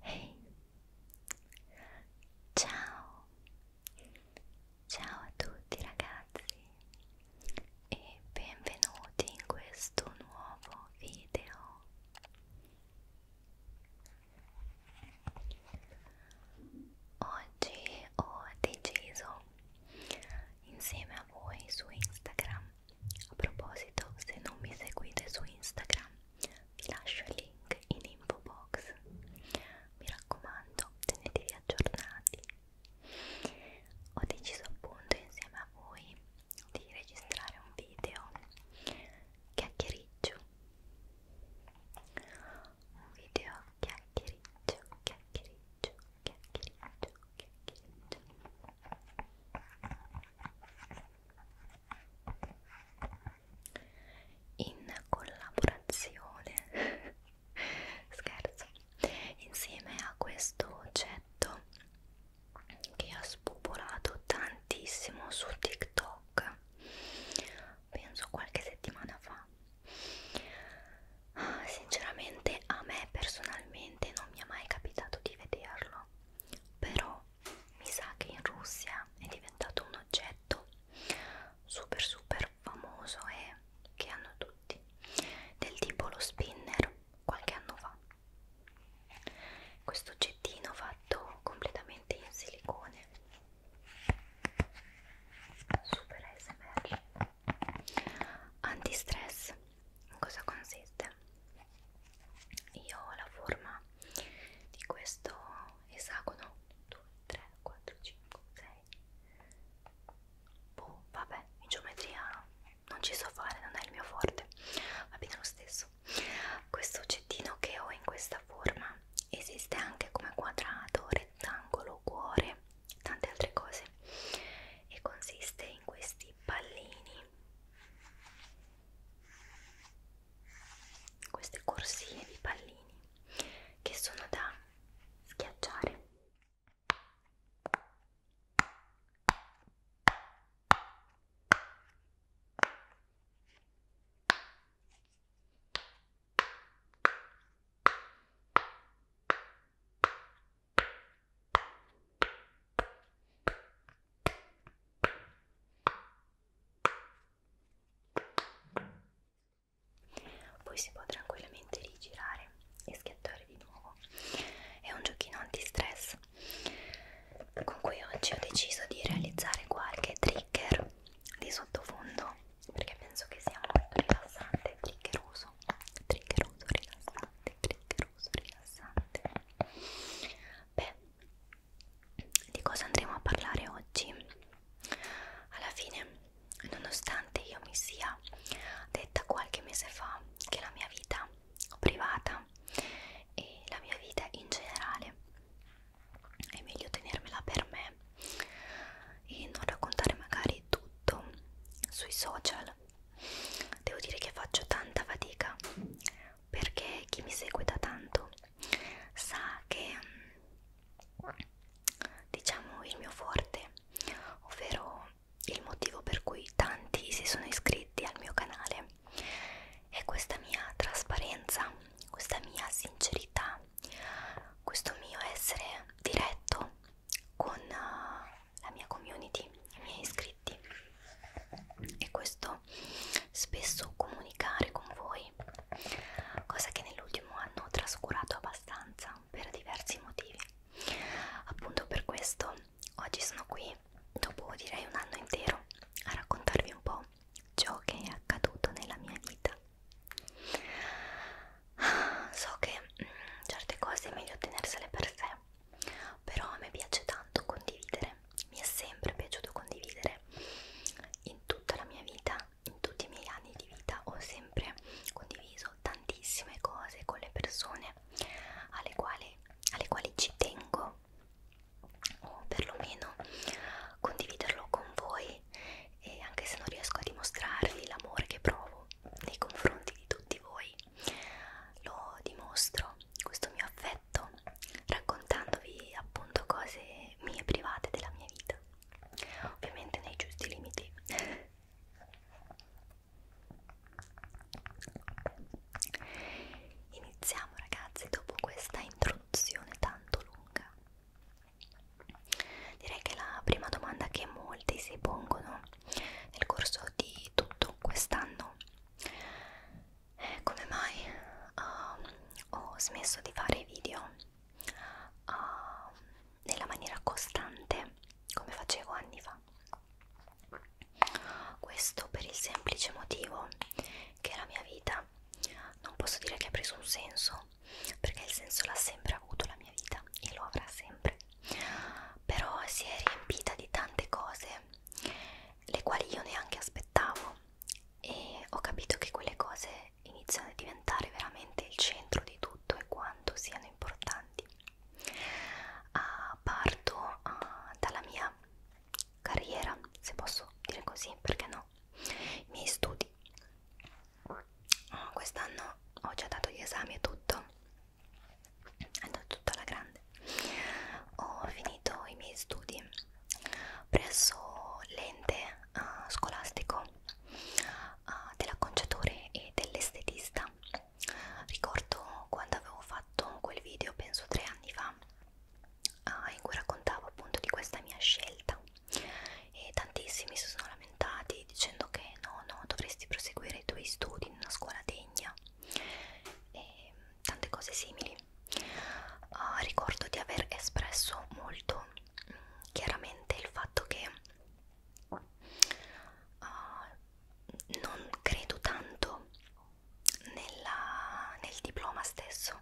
Hey. Ciao, ciao a tutti ragazzi e benvenuti in questo nuovo video. Oggi ho deciso insieme a voi su Instagram. A proposito, se non mi seguite su Instagram, vi lascio il link in info box. Mi raccomando, tenetevi aggiornati. Ho deciso appunto insieme a voi di registrare un video chiacchiericcio un video chiacchiericcio chiacchiericcio chiacchiericcio chiacchiericcio in collaborazione scherzo insieme a questo oggetto che ha spopolato tantissimo su TikTok penso qualche settimana fa ah, sinceramente a me personalmente non mi è mai capitato di vederlo però mi sa che in Russia è diventato un oggetto super super famoso e che hanno tutti del tipo lo spinner qualche anno fa questo oggettino fatto completamente in silicone super ASMR antistress in cosa consiste? io ho la forma di questo esagono 2, 3, 4, 5, 6 boh, vabbè, in geometria non ci so fare, non è il mio forte va bene lo stesso questo oggettino che ho in questa forma esiste anche come quadrato, rettangolo, cuore, tante altre cose e consiste in questi pallini, queste corsie di pallini che sono da schiacciare. Poi si può tranquillamente rigirare e schiacciare di nuovo. È un giochino anti-stress con cui oggi ho deciso di realizzare qualche trigger di sottofondo perché penso che sia molto rilassante, triggeroso, triggeroso, rilassante, triggeroso, rilassante. Beh, di cosa andremo a parlare oggi? Alla fine, nonostante io mi sia detta qualche mese fa che la mia vita privata e la mia vita in generale è meglio tenermela per me e non raccontare magari tutto sui social devo dire che faccio tanta fatica perché chi mi segue da tanto sa che diciamo il mio forte ovvero il motivo per cui tanti si sono iscritti al mio canale me e questa mia trasparenza, questa mia sincerità, questo mio essere diretto con eh, la mia community, i miei iscritti e questo spesso comunicare con voi, cosa che nell'ultimo anno ho trascurato abbastanza per diversi motivi. Appunto per questo oggi sono qui, dopo direi un anno intero, a raccontarvi un po' ciò che è accaduto nella mia vita. So che mh, mm, certe cose è meglio tenersele per sé, però a me piace tanto condividere, mi è sempre piaciuto condividere in tutta la mia vita, in tutti i miei anni di vita ho sempre condiviso tantissime cose con le persone alle quali, alle quali ci tengo o perlomeno condividerlo con voi e anche se non riesco a dimostrarvi l'amore che provo nei confronti di tutti voi lo dimostro questo mio affetto raccontandovi appunto cose mie private della mia vita ovviamente nei giusti limiti iniziamo ragazzi dopo questa intro introduzione tanto lunga. Direi che la prima domanda che molti si pongono nel corso di tutto quest'anno è come mai uh, ho smesso di fare video uh, nella maniera costante come facevo anni fa. Questo per il semplice motivo che la mia vita vita non posso dire che ha preso un senso perché il senso l'ha sempre avuto la mia vita e lo avrà sempre però si è riempita di tante cose le quali io neanche aspettavo e ho capito che quelle cose iniziano a diventare veramente il centro di tutto e quanto siano importanti uh, parto uh, dalla mia carriera se posso dire così perché no no, i miei studi. Oh, Quest'anno ho già dato gli esami e tutto, è andato tutto alla grande. Ho finito i miei studi presso l'ente uh, scolastico uh, eh, dell'acconciatore e dell'estetista. Ricordo quando avevo fatto quel video, penso tre anni fa, ah, in cui raccontavo appunto di questa mia scelta e tantissimi si sono lamentati dicendo che no, no, dovresti proseguire i tuoi studi in una scuola degna e tante cose simili. Uh, ricordo di aver espresso molto mh, mm, chiaramente il fatto che uh, non credo tanto nella, nel diploma stesso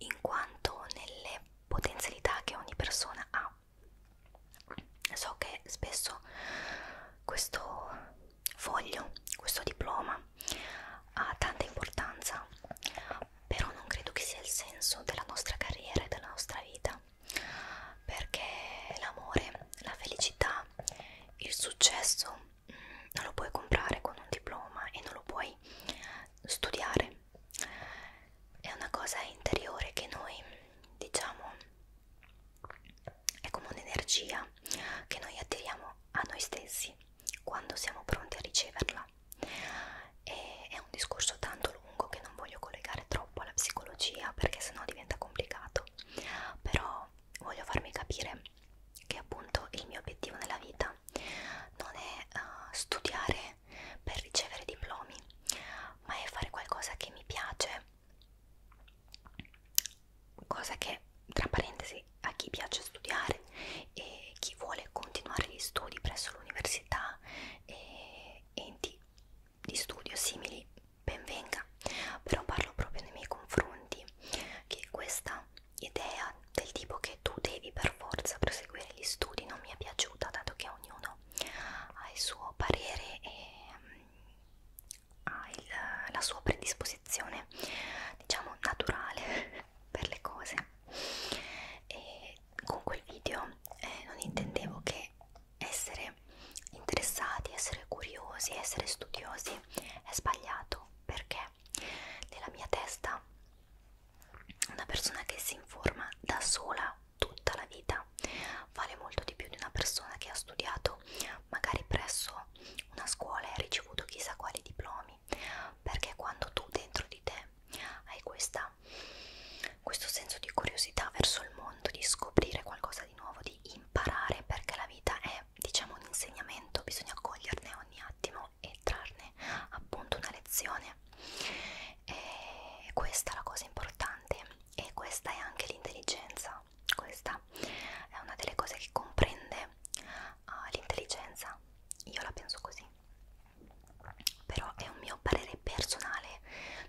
in quanto nelle potenzialità che ogni persona ha. So che spesso questo foglio, questo diploma ha tanta importanza, però non credo che sia il senso della nostra carriera e della nostra vita, perché l'amore, la felicità, il successo mm, non lo puoi comprare con un diploma e non lo puoi studiare è una cosa interiore che noi diciamo è come un'energia che noi attiriamo a noi stessi quando siamo pronti a riceverla e è un discorso tanto lungo che non voglio collegare troppo alla psicologia perché sennò diventa complicato però voglio farmi capire che appunto il mio obiettivo nella vita non è uh, studiare per ricevere diplomi, ma è fare qualcosa che mi piace, cosa che tra parentesi a chi piace studiare e chi vuole continuare gli studi presso l'università e enti di studio simili, benvenga, però parlo proprio nei miei confronti che questa idea del tipo che tu devi per forza proseguire gli studi non mi è piaciuta dato che ognuno ha il suo parere e mm, ha il, la sua predisposizione diciamo naturale per le cose e con quel video eh, non intendevo che essere interessati, essere curiosi, essere studiosi è sbagliato perché nella mia testa una persona che si informa da sola tutta la vita vale molto di più di una persona che ha studiato magari presso una scuola e ha ricevuto chissà quali diplomi perché quando tu dentro di te hai questa, questo senso di curiosità verso il mondo di scoprire qualcosa di nuovo di imparare perché la vita è diciamo un insegnamento bisogna coglierne ogni attimo qualcuno e trarne appunto una lezione e questa è la cosa importante e questa è anche l'intelligenza questa è una delle cose che comprende uh, l'intelligenza io la penso così però è un mio parere personale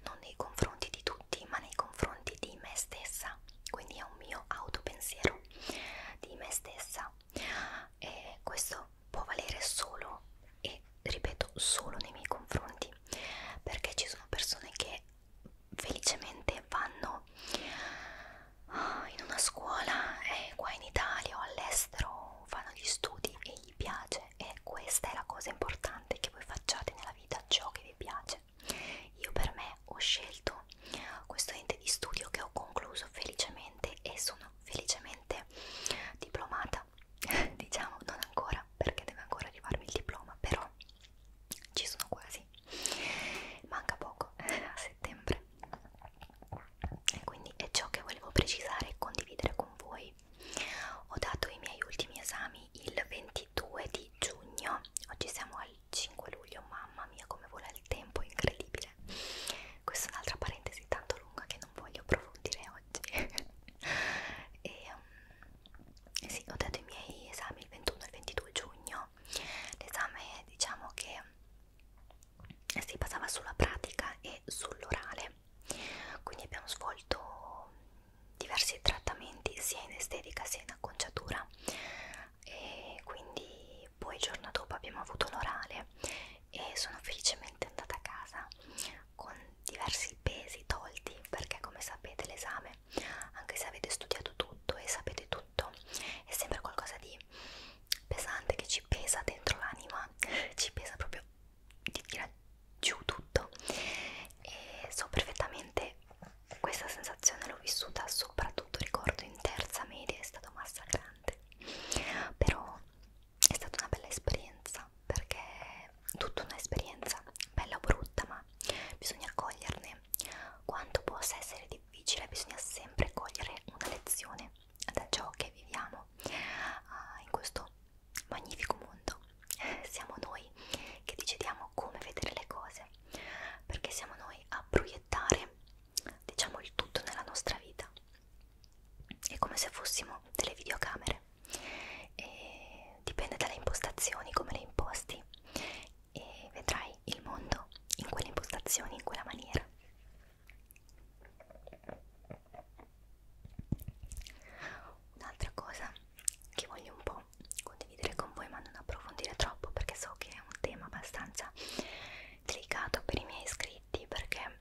non nei confronti di tutti ma nei confronti di me stessa quindi è un mio autopensiero di me stessa e questo può valere solo e ripeto solo nei miei confronti perché ci sono persone che felicemente vanno ah, in una scuola eh, qua in Italia o all'estero fanno gli studi e gli piace e questa è la cosa importante che voi facciate nella vita ciò che vi piace io per me ho scelto questo ente di studio che ho concluso felicemente e sono felicemente diplomata diciamo non ancora perché deve ancora arrivarmi il diploma però ci sono quasi manca poco a settembre e quindi è ciò che volevo precisare e condividere con voi ho dato i miei ultimi esami il 22 di giugno oggi siamo al 5 luglio mamma mia come vola il tempo incredibile questa è un'altra parentesi tanto molto lunga che non voglio approfondire oggi e um, sì, ho dato i miei esami il 21 e il 22 giugno l'esame diciamo che si basava sulla pratica e sull'orale quindi abbiamo svolto diversi trattamenti sia in estetica sia in acconciatura e quindi e poi il giorno dopo abbiamo avuto l'orale e sono felicemente andata a casa con diversi pesi tolti perché come sapete l'esame, anche se avete studiato tutto e sapete tutto, è sempre qualcosa di pesante che ci pesa dentro l'anima, ci pesa proprio di tirare giù tutto e so perfettamente questa sensazione l'ho vissuta soprattutto ricordo in terza media è stato massacrante però è stata una bella esperienza perché tutta un'esperienza bella o brutta ma bisogna coglierne quanto possa essere difficile bisogna sempre cogliere una lezione da ciò che viviamo uh, in questo magnifico mondo siamo noi che decidiamo come vedere le cose perché siamo noi a proiettare diciamo il tutto nella nostra vita è come se fossimo delle videocamere e dipende dalle impostazioni come le imposti e vedrai il mondo in quelle impostazioni in quella maniera un'altra cosa che voglio un po' condividere con voi ma non approfondire troppo perché so che è un tema abbastanza delicato per i miei iscritti perché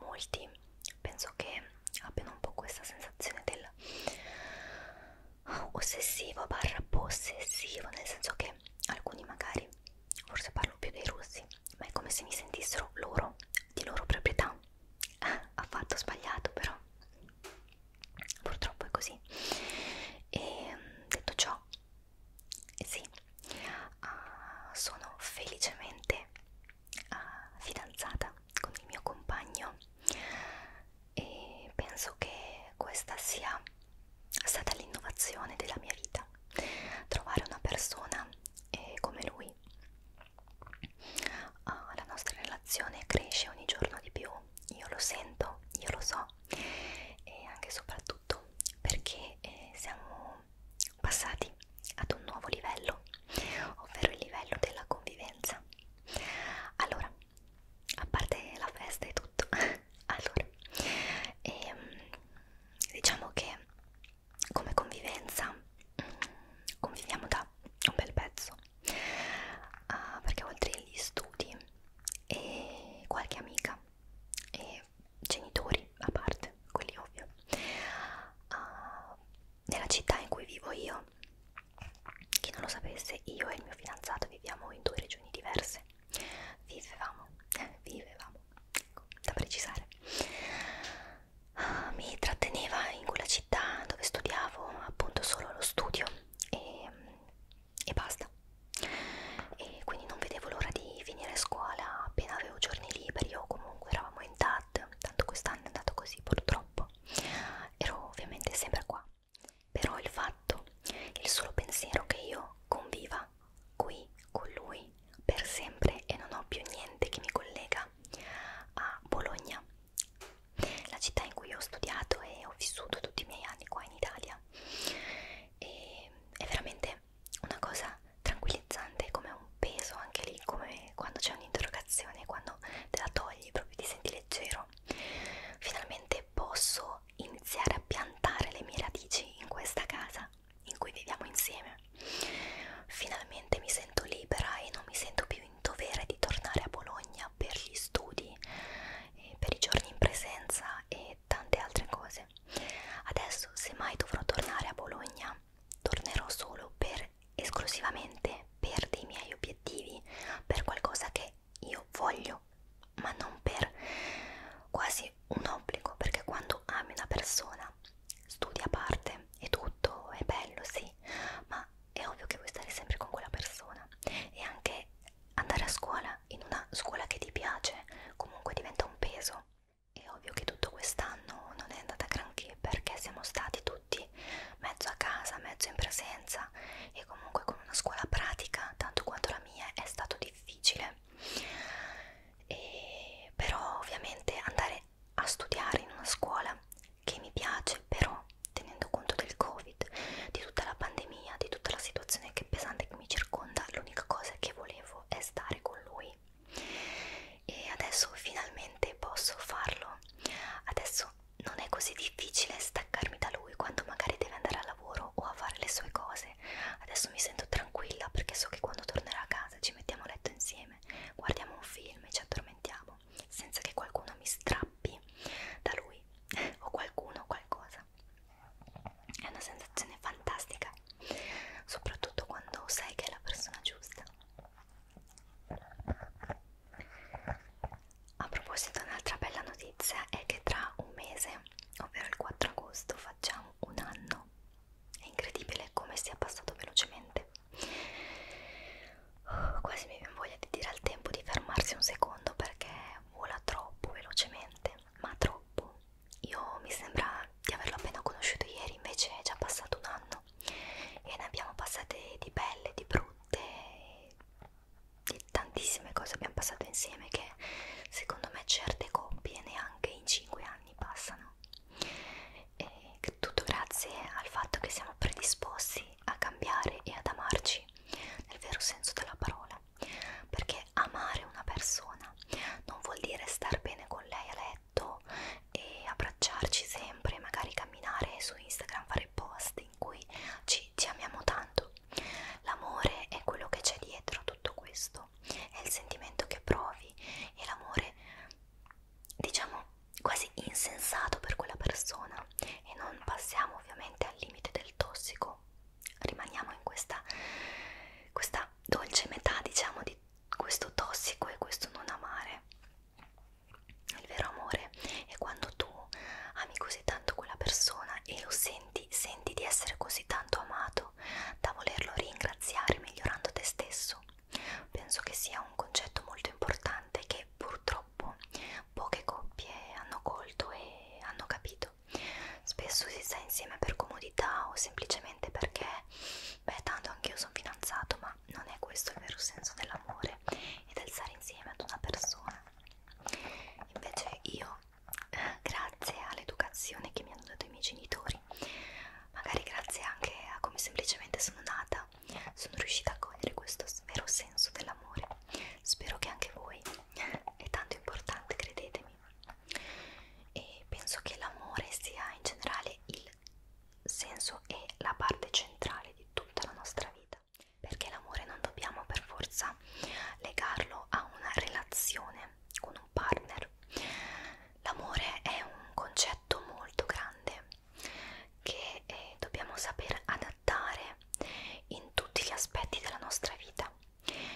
molti penso che abbiano un po' questa sensazione del ossessivo barra possessivo nel senso che alcuni magari forse parlo più dei russi ma è come se mi sentissero loro di loro proprietà eh, affatto sbagliato però purtroppo è così e detto ciò sì, uh, sono felicemente uh, fidanzata con il mio compagno e penso che questa sia stata l'innovazione della mia vita, trovare una persona eh, come lui. Uh, la nostra relazione cresce ogni giorno di più, io lo sento, io lo so e anche e soprattutto perché eh, siamo siamo passati ad un nuovo livello, ovvero il livello della convivenza. Allora, a parte la festa e tutto, allora, ehm, diciamo che come convivenza mm, conviviamo da un bel pezzo, uh, perché oltre agli studi e qualche amica e genitori a parte, quelli ovvio. Uh, nella città in cui vivo io, chi non lo sapesse, io e il mio fidanzato viviamo in due regioni diverse. Vivevamo, vivevamo, ecco, da precisare. Uh, mi tratteneva in quella città dove studiavo appunto solo lo studio e, e basta e quindi non vedevo l'ora di finire scuola appena avevo giorni liberi o comunque eravamo in TAD, tanto quest'anno è andato così purtroppo, ero ovviamente sempre qua, però il fatto, il solo pensiero che io conviva qui con lui per sempre e non ho più niente che mi collega a Bologna, la città in cui ho studiato e ho vissuto tutti i miei anni qua in Italia. E è veramente una cosa tranquillizzante, come un peso anche lì, come quando c'è un'interrogazione, quando te la togli proprio ti senti leggero. Finalmente posso iniziare a piantare le mie radici in questa casa in cui viviamo insieme. Finalmente mi sento libera e non mi sento più in dovere di tornare a Bologna per gli studi, eh, per i giorni in presenza e tante altre cose. Adesso, se mai dovrò tornare a Bologna, tornerò solo per esclusivamente per dei miei obiettivi, per qualcosa che io voglio, ma non per quasi un obbligo, perché quando ami una persona studi a parte e tutto è bello, sì, ma è ovvio che vuoi stare sempre con quella persona e anche andare a scuola in una scuola che ti piace comunque diventa un peso è ovvio che tutto quest'anno non è andata granché perché siamo stati tutti mezzo a casa, mezzo in presenza e comunque con una scuola pratica, tanto quanto la mia, è stato difficile. E però ovviamente andare a studiare in una scuola che mi piace, però tenendo conto del Covid, di tutta la pandemia, di tutta la situazione che pesante che mi circonda, l'unica cosa che volevo è stare con lui e adesso finalmente posso farlo adesso non è così difficile staccarmi da lui quando magari deve andare a lavoro o a fare le sue cose adesso mi sento tranquilla perché so che quando tornerà a casa ci mettiamo a letto insieme guardiamo un film e ci addormentiamo senza che qualcuno mi strappi da lui o qualcuno o qualcosa è una sensazione fantastica soprattutto quando sai che è la persona giusta. A proposito, un'altra bella notizia è che tra un mese, ovvero il 4 agosto, facciamo un anno. È incredibile come sia passato velocemente. Oh, quasi mi viene voglia di dire al tempo di fermarsi un secondo perché vola troppo velocemente, ma troppo. Io mi sembra di averlo appena conosciuto ieri, invece è già passato un anno e ne abbiamo passate di belle, di brutte, di tantissime cose abbiamo passato insieme che secondo me certe coppie neanche in 5 anni passano. E tutto grazie al fatto che siamo predisposti a cambiare e ad amarci nel vero senso della parola perché amare una persona non vuol dire star bene con lei a letto letto e abbracciarci sempre, magari camminare su Instagram, fare post in cui ci, ci amiamo tanto. L'amore è quello che c'è dietro tutto questo, è il sentimento che provi e l'amore diciamo quasi insensato per quella persona e non passiamo ovviamente al limite del tossico, rimaniamo in questa, questa dolce metà diciamo di questo tossico e questo non amare. Il vero amore è quando tu ami così tanto quella persona e lo senti, senti di essere così tanto amato da volerlo ringraziare migliorando te stesso. Penso che sia un concetto molto importante che purtroppo poche coppie hanno colto e hanno capito. Spesso si sta insieme per comodità o semplicemente perché beh tanto anch'io sono fidanzato ma non è questo il vero senso dell'amore e del stare insieme ad una persona invece io eh, grazie all'educazione che mi hanno dato i miei genitori magari grazie anche a come semplicemente sono nata sono riuscita a cogliere questo vero senso dell'amore spero che anche voi è tanto importante credetemi e penso che l'amore sia in generale il senso e la parte centrale di tutta la nostra vita perché l'amore non dobbiamo per forza legarlo a una relazione con un partner l'amore è un concetto molto grande che eh, dobbiamo saper adattare in tutti gli aspetti della nostra vita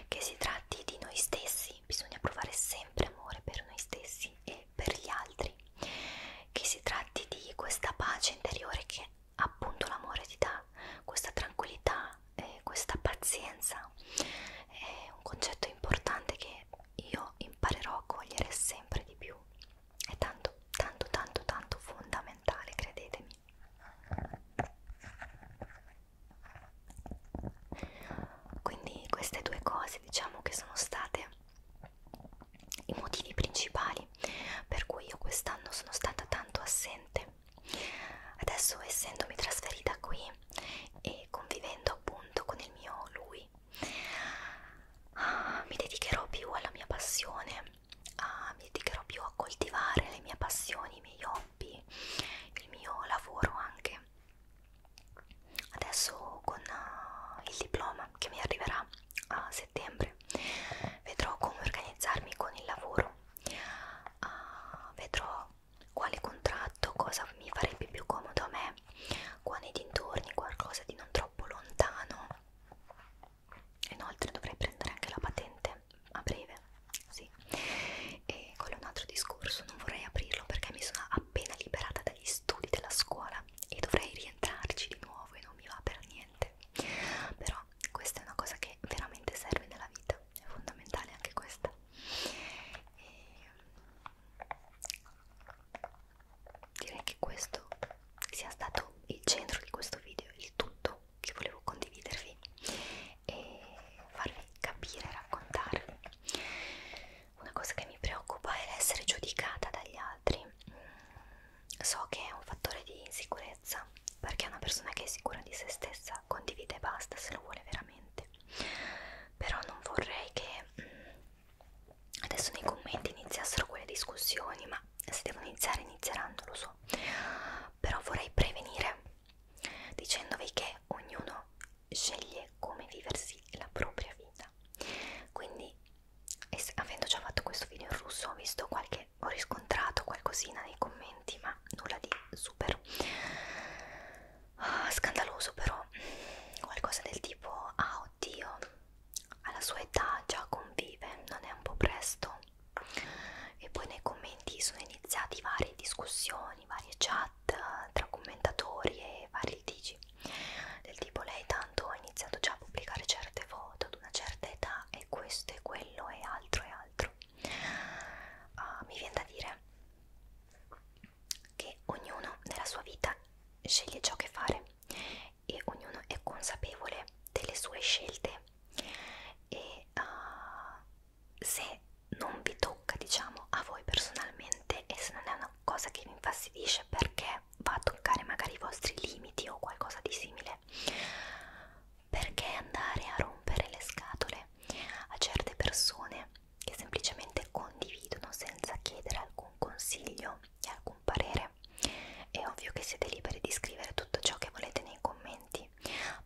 che si tratti di noi stessi bisogna provare sempre amore per noi stessi e e per gli altri, che si tratti di questa pace interiore che appunto l'amore ti dà, questa tranquillità, eh, questa pazienza, è un concetto importante che io imparerò a cogliere sempre di più, è tanto, tanto, tanto, tanto fondamentale, credetemi quindi queste due cose diciamo che sono state i motivi principali per cui io quest'anno sono stata tanto assente adesso essendomi trasferita qui e convivendo appunto con il mio lui ah, mi dedicherò più alla mia passione ah, mi dedicherò più a coltivare le mie passioni i miei hobby il mio lavoro anche adesso con uh, il diploma che mi arriverà a settembre vedrò come organizzarmi con il lavoro uh, vedrò quale contratto cosa mi farebbe più comodo a me qua nei dintorni qualcosa di non troppo lontano inoltre dovrei prendere anche la patente a breve sì e quello è un altro discorso non vorrei aprirlo perché mi sono appena liberata dagli studi della scuola e dovrei rientrarci di nuovo e non mi va per niente. Però questa è una cosa che veramente serve nella vita, è fondamentale anche questa. E direi che questo sia stato il centro di questo video, il tutto che volevo condividervi e farvi capire, raccontarvi una cosa che mi preoccupa è l'essere giudicata dagli altri. Mm, so che è un fattore di insicurezza, perché una persona che è sicura di se stessa condivide e basta se lo vuole veramente. Però non vorrei che mm, adesso nei commenti iniziassero quelle discussioni, ma se devono iniziare inizieranno, lo so. Però vorrei prevenire dicendovi che ognuno sceglie come viversi la propria vita quindi avendo già fatto questo video in russo ho visto qualche ho riscontrato qualcosina nei commenti ma nulla di super uh, scandaloso però qualcosa del tipo ah oddio alla sua età già convive non è un po' presto e poi nei commenti sono iniziati varie discussioni varie chat chat tra commentatori e vari litigi del tipo lei tanto ha iniziato già a pubblicare certe foto ad una certa età e questo e quello e altro e altro uh, mi viene da dire che ognuno nella sua vita sceglie ciò che fare e ognuno è consapevole delle sue scelte e uh, se non vi tocca diciamo a voi personalmente e se non è una una cosa che vi infastidisce perché va a toccare magari i vostri limiti o qualcosa di simile perché andare a rompere le scatole a certe persone che semplicemente condividono senza chiedere alcun consiglio e alcun parere è ovvio che siete liberi di scrivere tutto ciò che volete nei commenti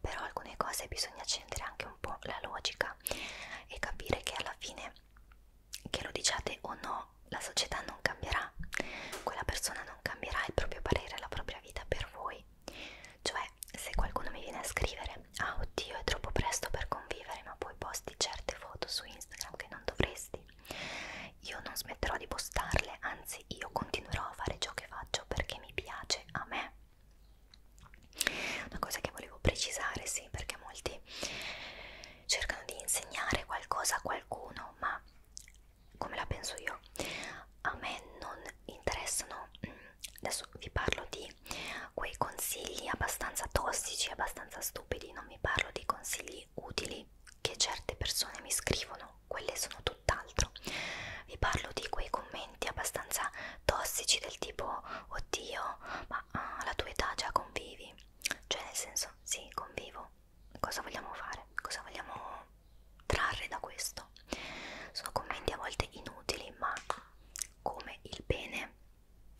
però alcune cose bisogna accendere anche un po' la logica e capire che alla fine che lo diciate o no, la società non cambierà, quella persona non cambierà il proprio parere, la propria vita per voi. Cioè, se qualcuno mi viene a scrivere, ah oddio è troppo presto per convivere, ma poi posti certe foto su Instagram che non dovresti, io non smetterò di postarle, anzi io continuerò a fare ciò che faccio perché mi piace a me. Una cosa che volevo precisare, sì, perché molti cercano di insegnare qualcosa a qualcuno, ma come la penso io, a me non interessano. Mm, adesso vi parlo di quei consigli abbastanza tossici, abbastanza stupidi, non vi parlo di consigli utili che certe persone mi scrivono, quelle sono tutt'altro. Vi parlo di quei commenti abbastanza tossici del tipo oddio, ma alla tua età già convivi, cioè nel senso sì, convivo, cosa vogliamo fare? Cosa vogliamo trarre da questo? Sono commenti a volte inutili, ma come il bene,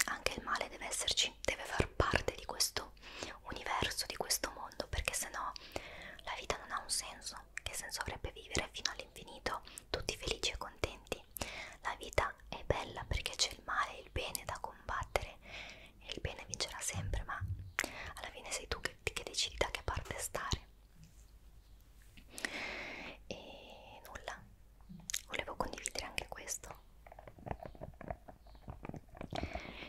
anche il male deve esserci, deve far parte di questo universo, di questo mondo, perché sennò la vita non ha un senso. Che senso avrebbe vivere fino all'infinito, tutti felici e contenti? combattimenti. La vita è bella perché c'è il male e il bene da combattere e il bene vincerà sempre, ma alla fine sei tu che, che decidi da che parte stare. E nulla, volevo condividere anche questo.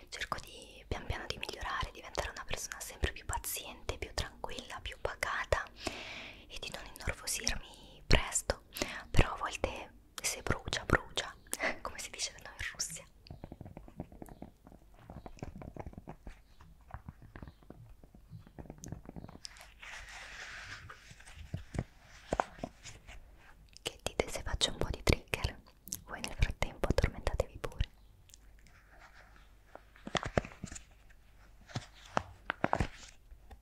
Cerco di pian piano di migliorare, diventare una persona sempre più paziente, più tranquilla, più pacata e di non innervosirmi presto, però a volte se brucia brucia come si dice da noi in Russia che dite se faccio un po' di trigger? Voi nel frattempo addormentatevi pure.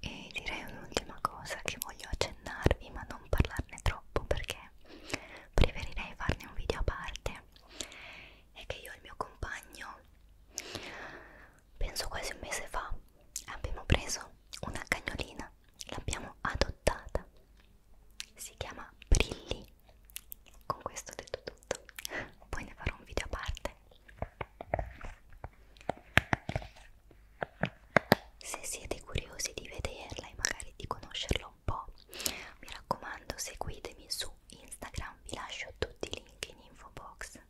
E direi un'ultima cosa che voglio accennarvi, ma non parlarne troppo perché preferirei farne un video a parte. È che io e il mio compagno penso quasi un mese fa, abbiamo preso una cagnolina, l'abbiamo adottata, si chiama Brilli. Con questo ho detto tutto, poi ne farò un video a parte. Se siete curiosi di vederla e magari di conoscerla un po', mi raccomando seguitemi su Instagram, vi lascio tutti i link in info box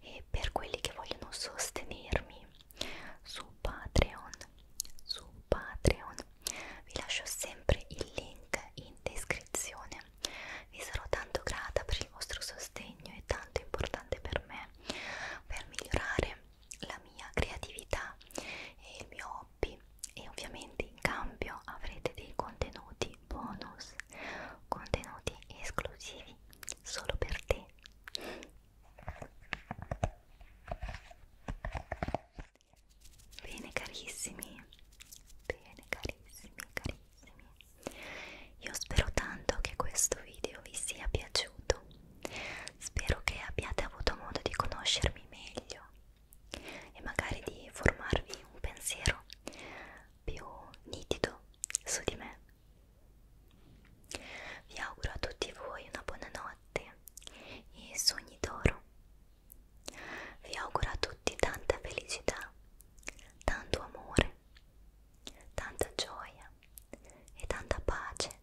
e per quelli che vogliono sostenermi su Patreon, su Patreon vi lascio sempre il link in descrizione. Vi sarò tanto grata per il vostro sostegno, è tanto importante per me per migliorare la mia creatività e il mio hobby e ovviamente in cambio avrete dei contenuti bonus, contenuti esclusivi solo per te Bene carissimi, bene carissimi, carissimi. Io spero tanto che questo video vi sia piaciuto. Spero che abbiate avuto modo di conoscermi meglio e magari di formarvi un pensiero più nitido su di me vi auguro a tutti voi una buona notte e sogni d'oro. Vi auguro a tutti tanta felicità, tanto amore, tanta gioia e tanta pace.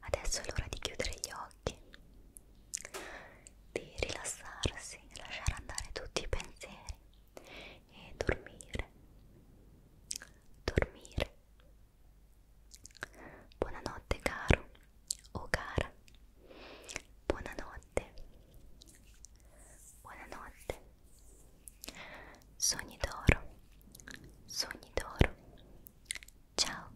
Adesso è l'ora di chiudere gli occhi, di rilassarsi e lasciare andare tutti i pensieri e dormire, dormire. Buonanotte caro o cara, buonanotte, buonanotte. Sogni d'oro, sogni d'oro. Ciao.